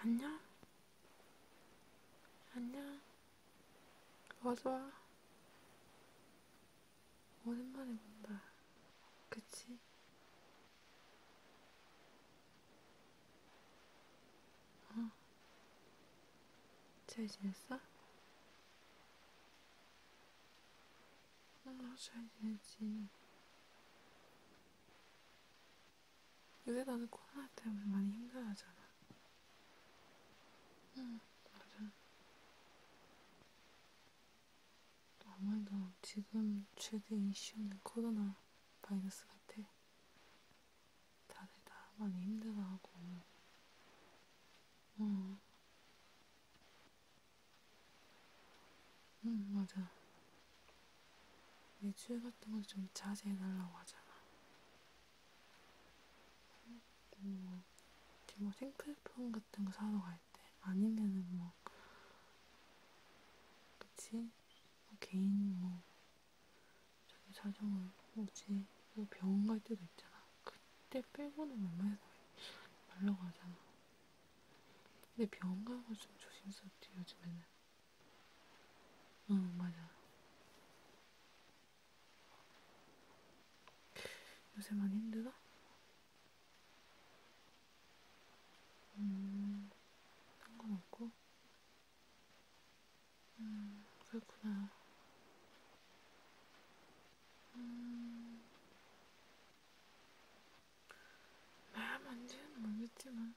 안녕? 안녕? 어서 와. 오랜만에 본다. 그치? 어. 잘 지냈어? 아, 잘 지내지. 요새 나는 코로나 때문에 많이 힘들어하잖아. 응, 맞아. 아무래도 지금 최대 이슈는 코로나 바이러스 같아. 다들 다 많이 힘들어하고. 응. 응, 맞아. 외출 같은 건좀 자제해달라고 하잖아. 뭐, 뭐 생필품 같은 거 사러 갈 때, 아니면은 뭐, 그치? 뭐 개인 뭐, 자기 사정을 뭐지? 뭐 병원 갈 때도 있잖아. 그때 빼고는 몸에서 뭐 말라가잖아. 근데 병원 가는 거좀 조심스럽지 요즘에는. 응 맞아. 요새 많이 힘들어? 음, 상관없고. 음, 그렇구나. 음, 말하면 안 되는 모르겠지만.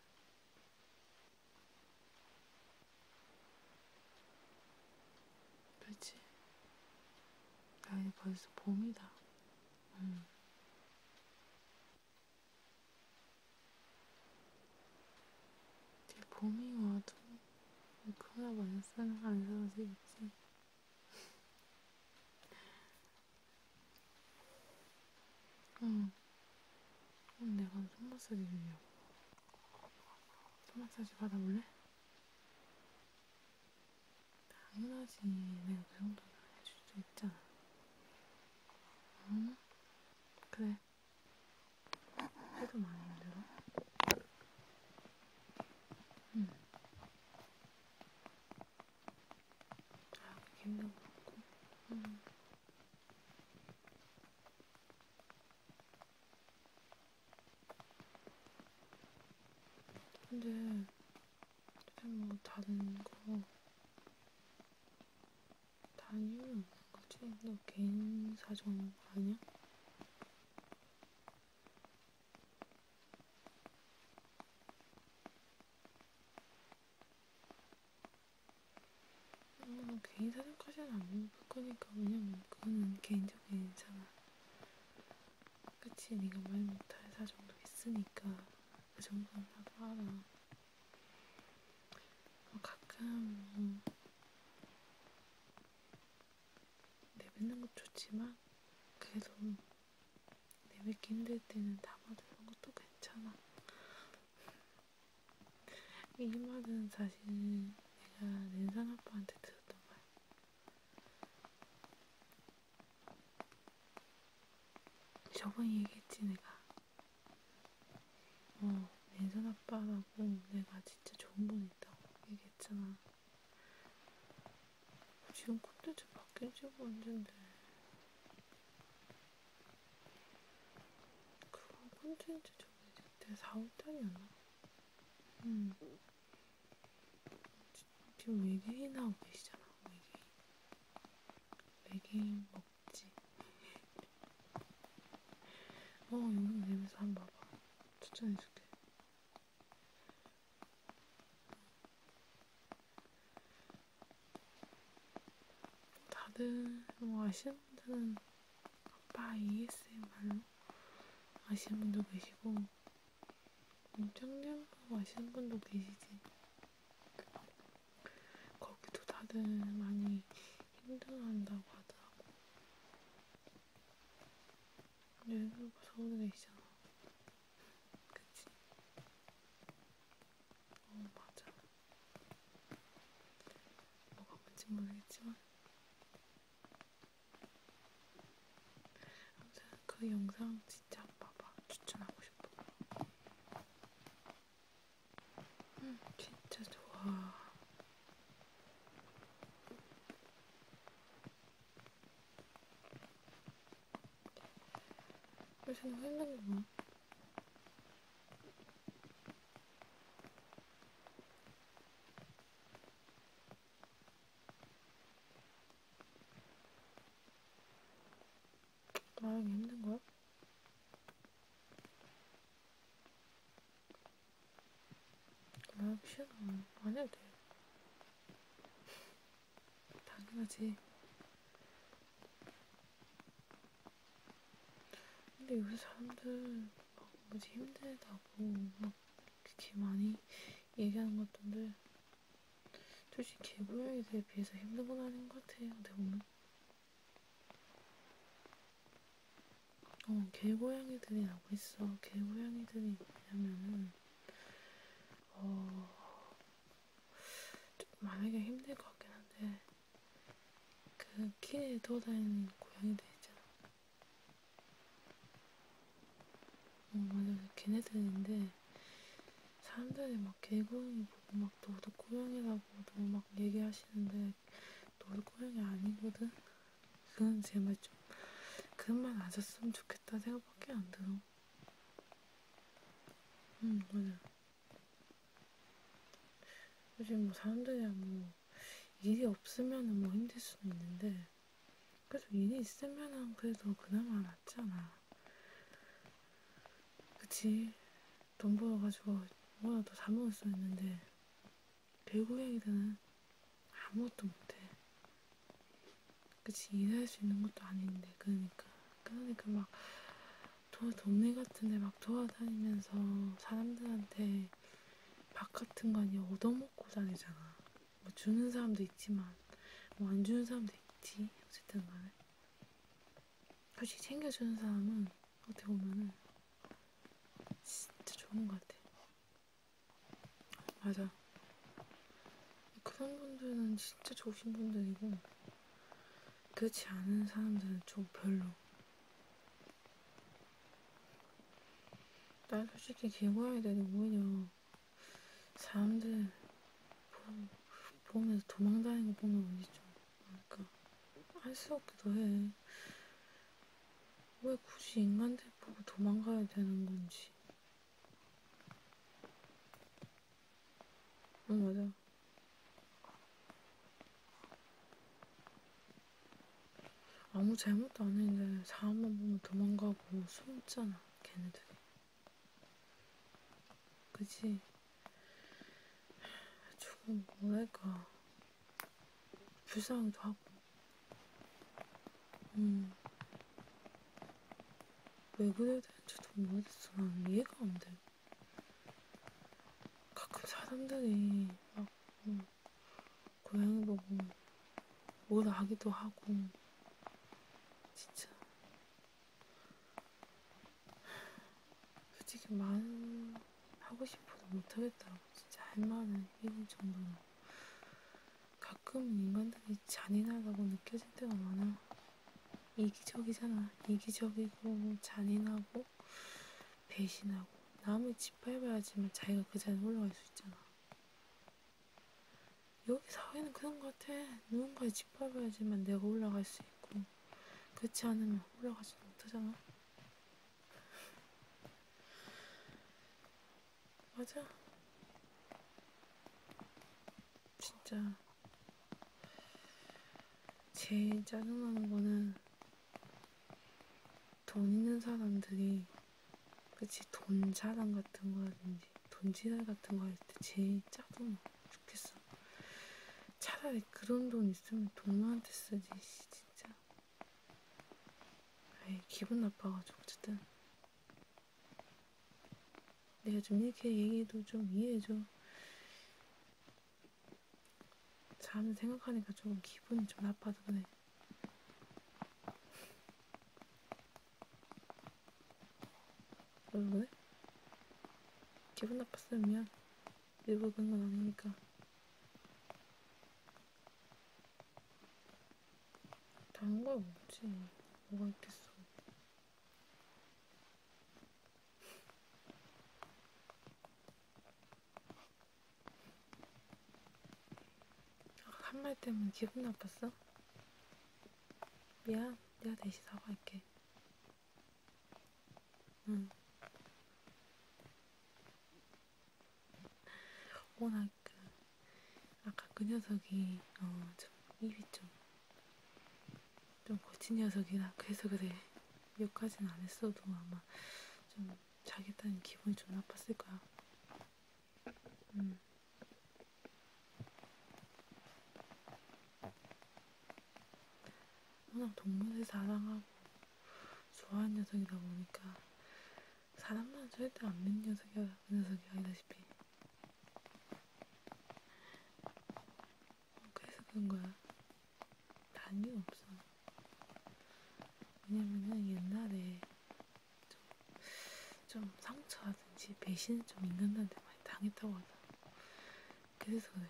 그렇지. 나 이제 벌써 봄이다. 응. 음. 이제 봄이 와도 그나마 안 사라지겠지. 응. 음. 그럼 내가 손 마사지 주려고. 손 마사지 받아볼래? 당연하지. 내가 그 정도는 해줄 수 있잖아. 응? 그래. 해도 많이 힘들어? 음. 아, 김도 먹고. 음. 근데 뭐 다른 거 다른 이유 없는 거지? 너 개인 사정 아니야? 뭐 음, 개인 사정까지는 안 물어볼 거니까 왜냐면 그거는 개인적인 상황 그치 네가 말 못할 사정도 있으니까 그 정도는 나도 알아 뭐 가끔 뭐 내뱉는 것도 좋지만 그래도 내뱉기 힘들 때는 담아두는 것도 괜찮아. 이 말은 사실 내가 랜선 아빠한테 들었던 거야. 저번에 얘기했지 내가. 어, 랜선 아빠라고 내가 진짜 좋은 분 있다고 얘기했잖아. 지금 콘텐츠 바뀐 지가 언젠데 그거 콘텐츠 정해질 때 4월달이었나? 음. 지금 외계인 하고 계시잖아 외계인 외계인 먹지 어 여기 내면서 한번 봐봐 추천해줄게 다들 뭐 아시는 분들은 아빠 ASMR로 아시는 분도 계시고 짱장도 아시는 분도 계시지 거기도 다들 많이 힘들어한다고 하더라고 여행은 네, 무서운 애이잖아. 그치? 어, 맞아. 뭐가 뭔지 모르겠지만. 아무튼 그 영상 진짜 봐봐. 추천하고 싶어. 응, 음, 진짜 좋아. 요새는 핸드폰 뭐? 나랑 힘든 거야? 뭐야 싫어 음, 안 해도 돼 당연하지 근데 요새 사람들 막 뭐지 힘들다고 막 그렇게 많이 얘기하는 것 같던데 솔직히 개구역에 비해서 힘든 건 아닌 것 같아요 내 몸은 어, 개고양이들이 나고 있어. 개고양이들이 뭐냐면은, 어, 좀 말하기가 힘들 것 같긴 한데, 그 길에 돌아다니는 고양이들 있잖아. 어, 맞아. 그 걔네들인데, 사람들이 막 개고양이 보고 막 너도 고양이라고 너막 얘기하시는데, 너도 고양이 아니거든? 그건 제발 좀 그런 말안 썼으면 좋겠다 생각밖에 안 들어. 응, 음, 맞아. 요즘 뭐 사람들이랑 아, 뭐 일이 없으면 뭐 힘들 수는 있는데 그래도 일이 있으면은 그래도 그나마 낫잖아. 그치? 돈 벌어가지고 뭐라도 사 먹을 수 있는데 개구쟁이들은 아무것도 못해. 그치, 일할 수 있는 것도 아닌데, 그러니까. 그러니까 막, 도, 동네 같은 데막 돌아다니면서 사람들한테 밥 같은 거 아니야, 얻어먹고 다니잖아. 뭐 주는 사람도 있지만, 뭐 안 주는 사람도 있지. 어쨌든 간에. 솔직히 챙겨주는 사람은 어떻게 보면은 진짜 좋은 것 같아. 맞아. 그런 분들은 진짜 좋으신 분들이고, 그렇지 않은 사람들은 좀 별로. 난 솔직히 개고양이 들이 오히려 사람들 보면서 도망다니는 거 보면 어디 좀 그러니까 할 수 없기도 해. 왜 굳이 인간들 보고 도망가야 되는 건지. 응 어, 맞아. 아무 잘못도 안 했는데 사람만 보면 도망가고 숨잖아 걔네들이. 그지? 조금 뭐랄까 불쌍하기도 하고. 음. 왜 그래야 되는지도 모르겠어. 난 이해가 안 돼. 가끔 사람들이 막, 뭐, 고양이 보고, 뭐라 하기도 하고, 진짜. 솔직히 만 하고 싶어도 못하겠더라고. 진짜 할 만한 일인 정도는. 가끔 인간들이 잔인하다고 느껴질 때가 많아. 이기적이잖아. 이기적이고 잔인하고 배신하고 남을 짓밟아야지만 자기가 그 자리에 올라갈 수 있잖아. 여기 사회는 그런 것 같아. 누군가에 짓밟아야지만 내가 올라갈 수 있고 그렇지 않으면 올라가지 못하잖아. 맞아. 진짜 제일 짜증나는 거는 돈 있는 사람들이 그치 돈 자랑 같은 거라든지 돈 지랄 같은 거 할 때 제일 짜증나 죽겠어. 차라리 그런 돈 있으면 동료한테 쓰지, 씨, 진짜. 아이, 기분 나빠가지고, 어쨌든. 내가 좀 이렇게 얘기도 좀 이해해줘. 잠을 생각하니까 조금 기분이 좀 나빠졌네. 왜 그래? 기분 나빴으면 미안. 일부러 그런 건 아니니까. 다른 거 없지. 뭐가 있겠어. 한말 때문에 기분 나빴어? 미안, 내가 대신 사과할게. 응. 음. 워낙 그 아까 그 녀석이 어좀 입이 좀좀 좀 거친 녀석이라 그래서 그래 욕하진 않았어도 아마 좀 자기 딴 기분이 좀 나빴을 거야. 음. 워낙 동물을 사랑하고 좋아하는 녀석이다 보니까 사람만 절대 안 믿는 녀석이, 그 녀석이 아니다시피 그래서 그런 거야. 다른 게 없어. 왜냐면은 옛날에 좀, 좀 상처라든지 배신을 좀 인간들한테 많이 당했다고 하잖아. 그래서 그래.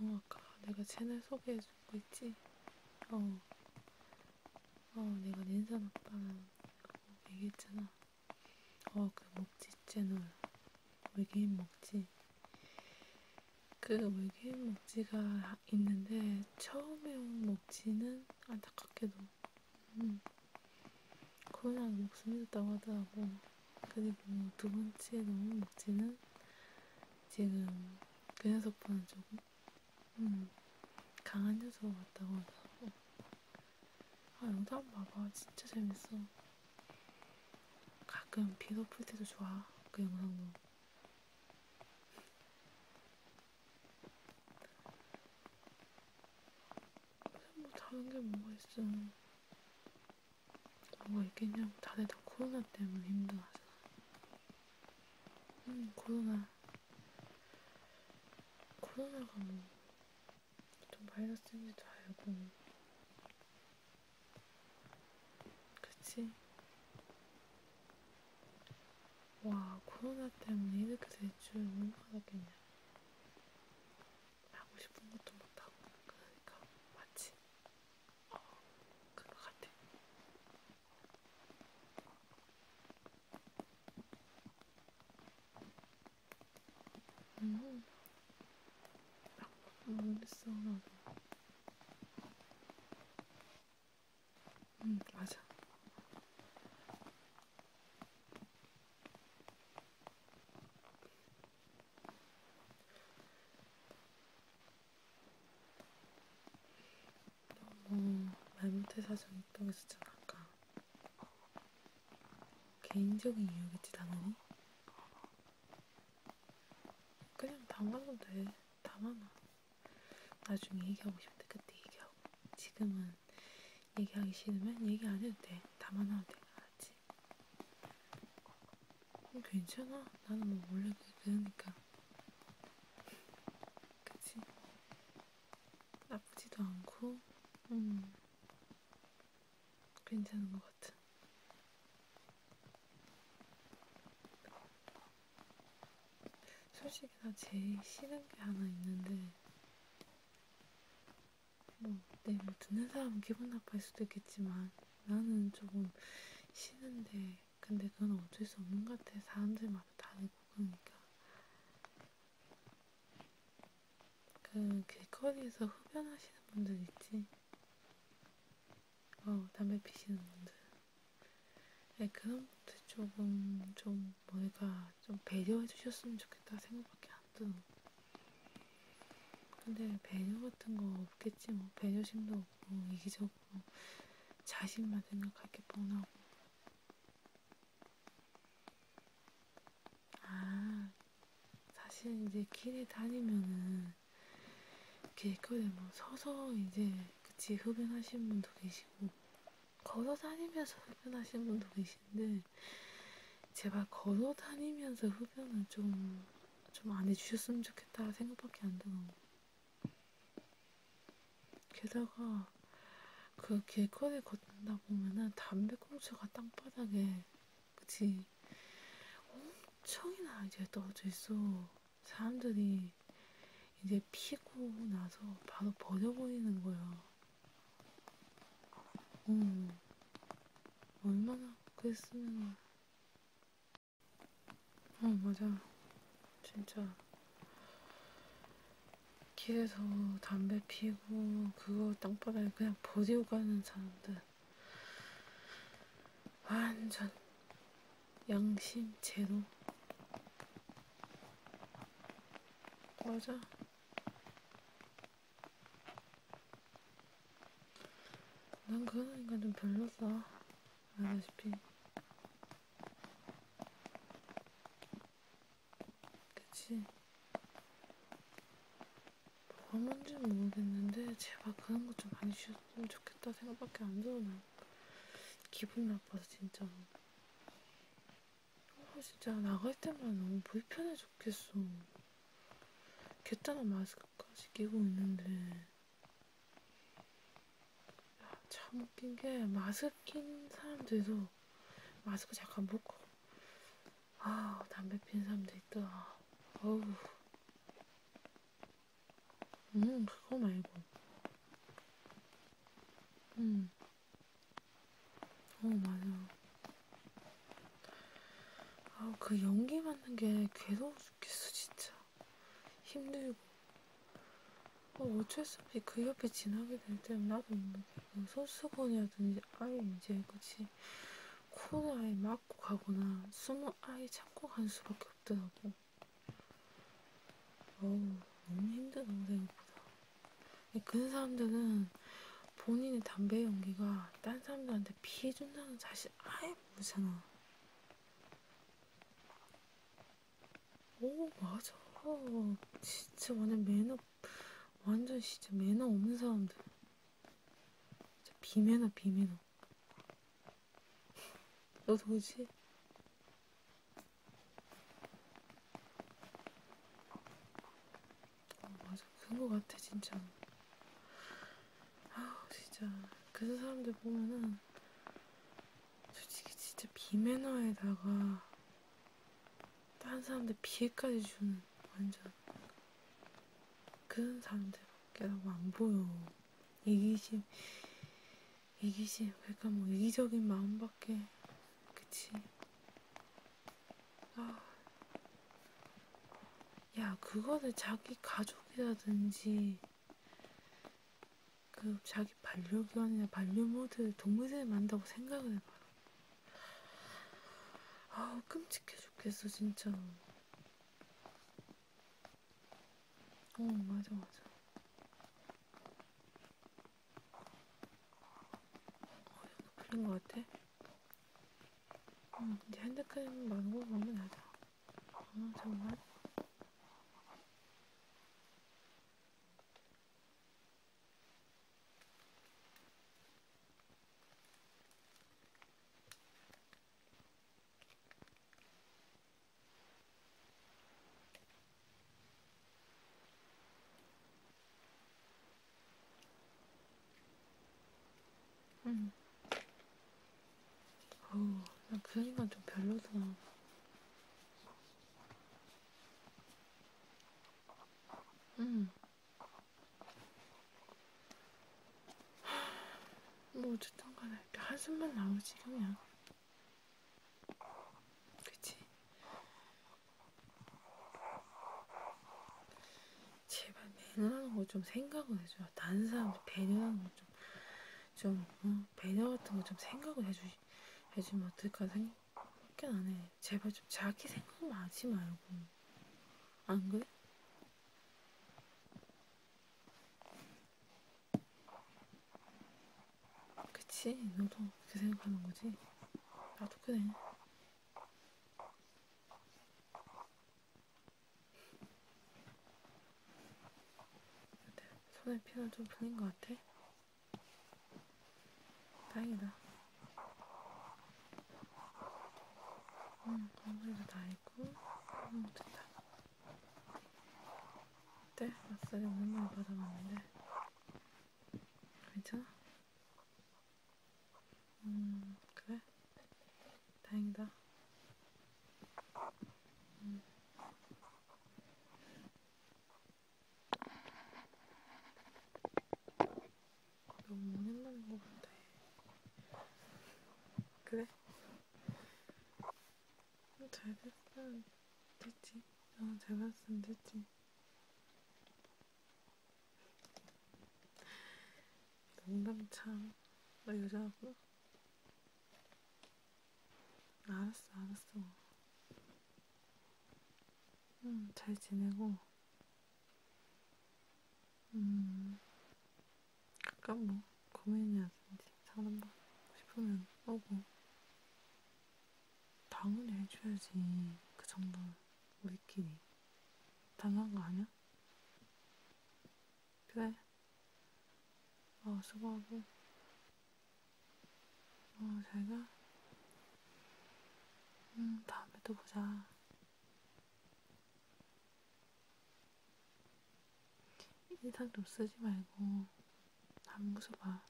어, 아까 내가 채널 소개해준 거 있지? 어, 어, 내가 닌산 오빠랑 그거 얘기했잖아. 어, 그 먹지 채널. 외계인 먹지. 그 외계인 먹지가 있는데, 처음에 온 먹지는 안타깝게도 음, 코로나가 목숨이 었다고 하더라고. 그리고 두 번째 너무 먹지는 지금 그 녀석보다 조금 음, 강한 녀석 같다고 하더라고. 아, 영상 봐봐. 진짜 재밌어. 가끔 비도 풀 때도 좋아. 그 영상도. 뭐 다른 게 뭐가 있어? 뭐가 있겠냐고 다들 다 코로나 때문에 힘들어하잖아. 음 코로나. 코로나가 뭐좀 바이러스인지도 알고. 그치? 와, 코로나 때문에 이렇게 될줄못 알았겠냐. 하고 싶은 것도 못하고, 그러니까, 맞지? 어, 그런 것 같아. 음, 아, 모르겠어, 나도. 응, 음, 맞아. 너무 말 못해 사정이 뻥했었잖아, 아까. 개인적인 이유겠지, 당연히. 그냥 담가도 돼. 담아놔. 나중에 얘기하고 싶을 때 그때 얘기하고 지금은 얘기하기 싫으면 얘기 안 해도 돼. 담아놔도 돼. 알았지? 음, 괜찮아. 나는 뭐 원래 그러니까. 그치? 나쁘지도 않고, 음, 괜찮은 것 같아. 솔직히 나 제일 싫은 게 하나 있는데 뭐, 네, 뭐 듣는 사람 기분 나빠할 수도 있겠지만 나는 조금 싫은데 근데 그건 어쩔 수 없는 것 같아 사람들마다 다르고 그러니까 그 길거리에서 흡연하시는 분들 있지? 어 담배 피시는 분들 네, 그 놈한테 조금 좀 뭔가 좀 배려해 주셨으면 좋겠다 생각밖에 안 들어. 근데 배려 같은 거 없겠지 뭐 배려심도 없고 이기적이고 자신만 생각할 게 뻔하고. 아, 사실 이제 길에 다니면은 길거리 뭐 서서 이제 그치 흡연하시는 분도 계시고. 걸어 다니면서 흡연하시는 분도 계신데 제발 걸어 다니면서 흡연을 좀좀 안 해주셨으면 좋겠다 생각밖에 안 들어. 게다가 그 길거리 걷다 보면은 담배꽁초가 땅바닥에 그치 엄청이나 이제 떨어져 있어. 사람들이 이제 피고 나서 바로 버려버리는 거야. 음, 얼마나 그랬으면. 어, 맞아. 진짜. 길에서 담배 피우고 그거 땅바닥에 그냥 버리고 가는 사람들. 완전 양심 제로 맞아 난 그런 애가 좀 별로다 알다시피 그치 뭐가 뭔진 모르겠는데 제발 그런 것 좀 많이 쉬었으면 좋겠다 생각밖에 안 들어 난 기분 나 아파서 진짜. 어, 진짜 나갈 때만 너무 불편해 죽겠어. 개따만 마스크까지 끼고 있는데. 야, 참 웃긴 게 마스크 낀 사람들도 마스크 잠깐 벗고 아 담배 피는 사람도 있더라. 어우 음, 그거 말고. 음. 어, 맞아. 아, 그 연기 맡는 게 괴로워 죽겠어, 진짜. 힘들고. 어, 어쩔 수 없이 그 옆에 지나게 될 때는 나도 모르게 뭐, 뭐 손수건이라든지 아예 이제, 그치? 코를 아예 막고 가거나 숨을 아예 참고 간 수밖에 없더라고. 어우, 너무 힘든 생각보다. 그런 사람들은 본인의 담배 연기가 딴 사람들한테 피해준다는 사실 아예 모르잖아. 오, 맞아. 진짜 완전 매너, 완전 진짜 매너 없는 사람들. 진짜 비매너, 비매너. 너 도지? 어, 맞아 그런 거 같아 진짜. 아 진짜 그런 사람들 보면은 솔직히 진짜 비매너에다가 다른 사람들 피해까지 주는 완전 그런 사람들밖에 너무 안 보여. 이기심, 이기심, 그러니까 뭐 이기적인 마음밖에, 그치? 아, 야, 그거는 자기 가족이라든지, 그 자기 반려견이나 반려모드 동물을 만다고 생각을 해봐. 아우 끔찍해 죽겠어 진짜. 어, 맞아, 맞아. 어, 약간 풀린 것 같아? 응, 음, 이제 핸드크림 많은 거 먹으면 되자. 어, 잠깐만. 음, 응. 어우, 나 분위기가 좀 별로다. 응. 음. 뭐 어쨌든 간에 한숨만 나오지 그냥 그치? 제발 배려하는 거좀 뭐 생각을 해줘 다른 사람들 배려하는 거 좀좀 뭐 좀, 어? 배려 같은 거 좀 생각을 해주, 해주면 어떨까 생각밖에 안해 제발 좀 자기 생각만 하지 말고 안 그래? 그치? 너도 그렇게 생각하는 거지? 나도 아, 그래. 손에 피는 좀 풀린 것 같아? 다행이다. 응, 음, 아무래도 다 했고, 응, 음, 됐다. 그때 네, 마사지 오랜만에 받아봤는데 괜찮아? 음 그래? 다행이다. 음. 어, 너무 오랜만인 것 같아. 그래? 잘 됐으면 됐지. 어, 잘 봤으면 됐지. 농담 참. 너 여자고? 알았어, 알았어. 응, 잘 지내고. 음, 가끔 뭐 고민이라든지 사람만 싶으면 오고 당연히 해줘야지 그 정도는 우리끼리 당한 거 아니야? 그래 어 수고하고 어 잘가 응 음, 다음에 또 보자 인상 좀 쓰지 말고 안 웃어봐.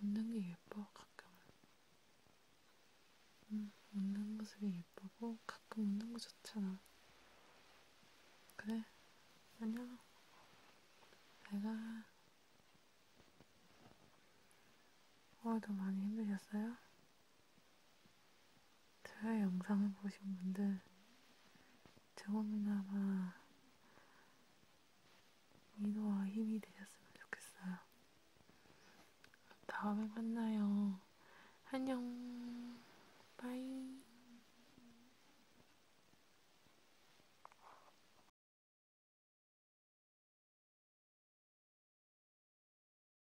웃는 게 예뻐 가끔은. 응, 음, 웃는 모습이 예쁘고 가끔 웃는 거 좋잖아. 그래, 안녕. 내가 오늘도 어, 많이 힘들었어요? 저의 영상을 보신 분들 조금이나마 위로와 힘이 되셨으면 좋겠어요. 다음에 만나요. 안녕. 바이.